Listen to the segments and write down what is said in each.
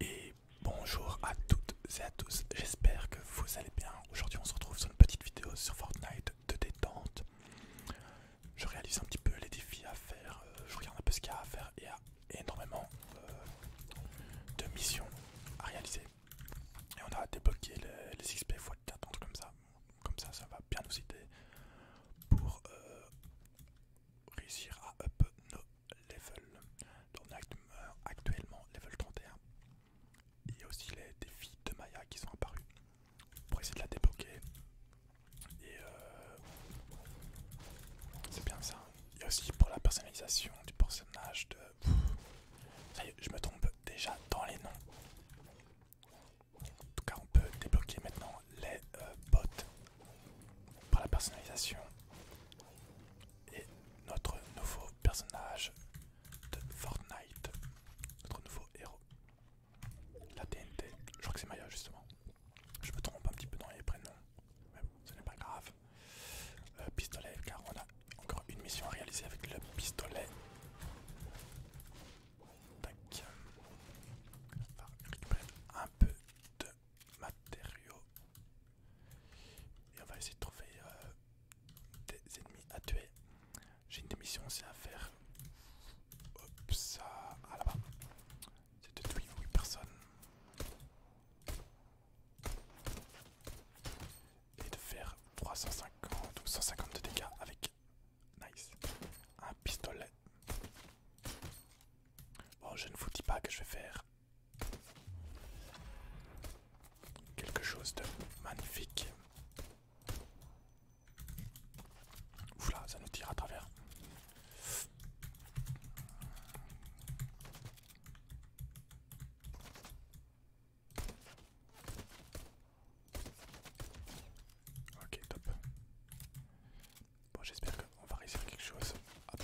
Et bonjour à toutes et à tous, j'espère que vous allez bien. Aujourd'hui on se retrouve sur une petite vidéo sur Fortnite de détente. Je réalise un petit peu les défis à faire, euh, je regarde un peu ce qu'il y a à faire et il y a énormément euh, de missions à réaliser. Et on a débloqué les, XP fois 4 comme ça. Comme ça, ça va bien nous aider pour euh, réussir à up nos level. Donc on euh, actuellement level 31. Il y a aussi les défis de Maya qui sont apparus pour essayer de la débloquer. Et euh, c'est bien ça. Il y a aussi pour la personnalisation du personnage de... ça y est, je me trompe déjà dans les noms. En tout cas, on peut débloquer maintenant les euh, bots par la personnalisation. Et notre nouveau personnage de Fortnite, notre nouveau héros, la TNT. Je crois que c'est Maya justement. Je me trompe un petit peu dans les prénoms, mais ce n'est pas grave. Euh, pistolet, car on a encore une mission à réaliser avec le pistolet. Tac. un peu de matériaux. Et on va essayer de trouver euh, des ennemis à tuer. J'ai une démission aussi à faire. ça. C'est de tuer 8 personnes. Et de faire 350 ou 150 de dégâts avec. Nice. Un pistolet. Bon, je ne vous dis pas que je vais faire quelque chose de magnifique. Ouf là, ça nous tire à travers. Ok, top. Bon, j'espère qu'on va réussir quelque chose. Hop.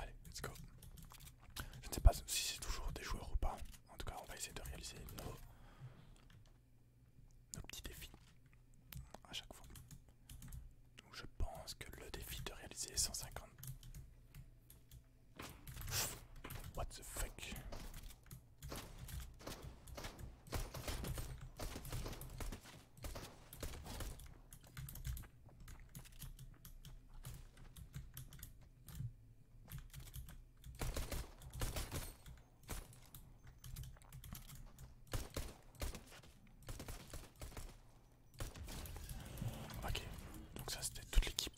Allez, let's go. Je ne sais pas si c'est toujours des joueurs ou pas. En tout cas, on va essayer de réaliser nos, nos petits défis à chaque fois. je pense que le défi de réaliser 150. What the fuck Ok, donc ça c'était toute l'équipe.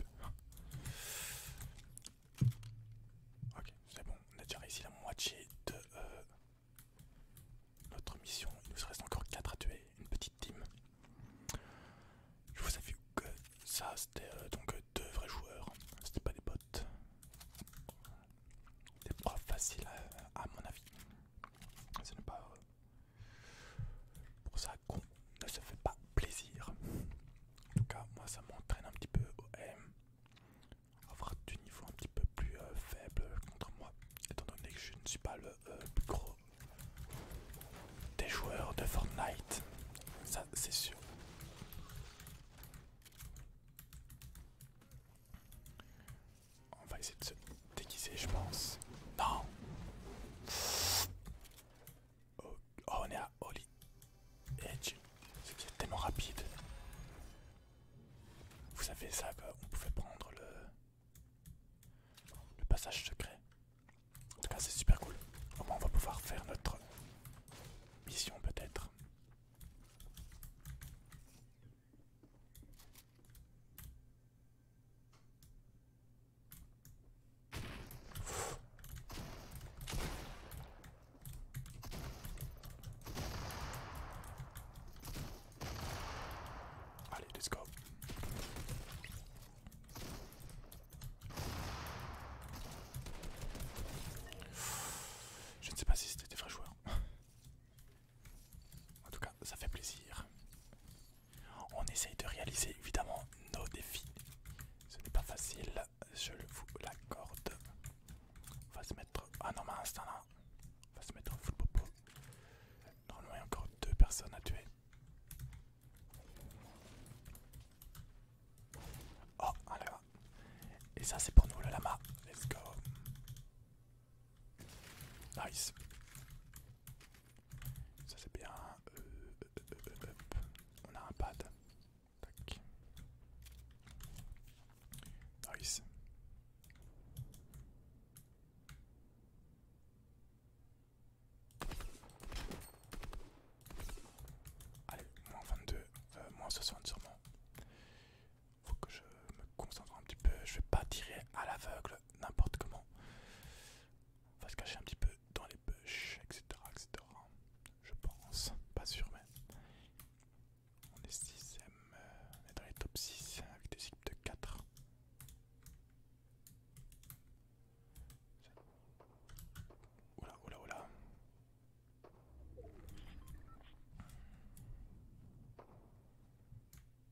Ok, c'est bon, on a déjà réussi la moitié de euh, notre mission. Il nous reste encore 4 à tuer, une petite team. Je vous avoue que ça, c'était euh, donc euh, deux vrais joueurs, c'était pas des bots. Des profs faciles, à, mon avis. Ce n'est pas. pour ça qu'on ne se fait pas plaisir. En tout cas, moi ça m'entraîne un petit peu au M. Avoir du niveau un petit peu plus euh, faible contre moi, étant donné que je ne suis pas le euh, plus gros des joueurs de Fortnite. Ça, c'est sûr. On va essayer de se déguiser, je pense. Non Oh, on est à Holy Edge. est tellement rapide. Vous savez ça on pouvait prendre le, le passage secret. En tout cas c'est super cool. Au moins on va pouvoir faire notre mission peut-être. Allez, let's go. Je ne sais pas si c'était des vrais joueurs. En tout cas, ça fait plaisir. On essaye de réaliser évidemment nos défis ce n'est pas facile, je vous l'accorde. On va se mettre. Ah non, mais non, là, On va se mettre en popo. Normalement, il y a encore deux personnes à tuer. Oh, un Et ça, c'est pour nous, le lama. Let's go. Nice. Ça, c'est bien. Euh, on a un pad. Tac. Nice. Allez, moins 22, euh, moins 60 sûrement. Faut que je me concentre un petit peu. Je vais pas tirer à l'aveugle n'importe comment. On va se cacher un petit peu dans les bush, etc., etc. Je pense, pas sûr mais... On est 6 euh, on est dans les top 6 avec des cibles de 4. Oula, oula, oula.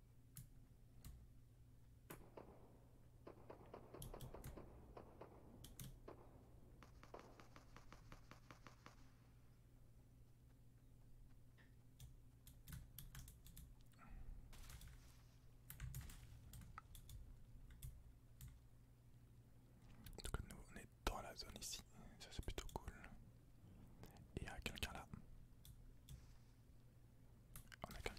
Donc nous on est dans la zone ici, ça c'est plutôt cool. Et il y a quelqu'un là. On a quelqu'un.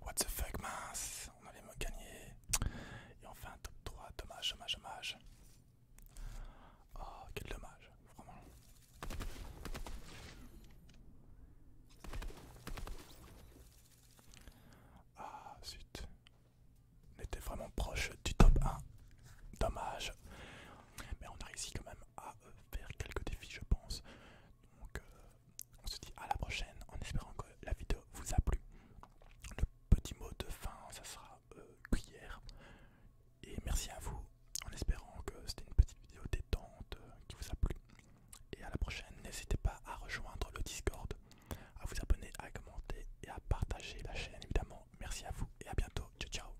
What the fuck, mince On me gagner Et enfin, top 3. Dommage, dommage, dommage. Oh, quel dommage, vraiment. Ah, zut. On était vraiment proche du top 1. Dommage. Mais on a réussi quand même à euh, faire quelques défis je pense. Donc euh, on se dit à la prochaine en espérant que la vidéo vous a plu. Le petit mot de fin ça sera euh, cuillère. Et merci à vous en espérant que c'était une petite vidéo détente euh, qui vous a plu. Et à la prochaine, n'hésitez pas à rejoindre le Discord, à vous abonner, à commenter et à partager la chaîne évidemment. Merci à vous et à bientôt. Ciao ciao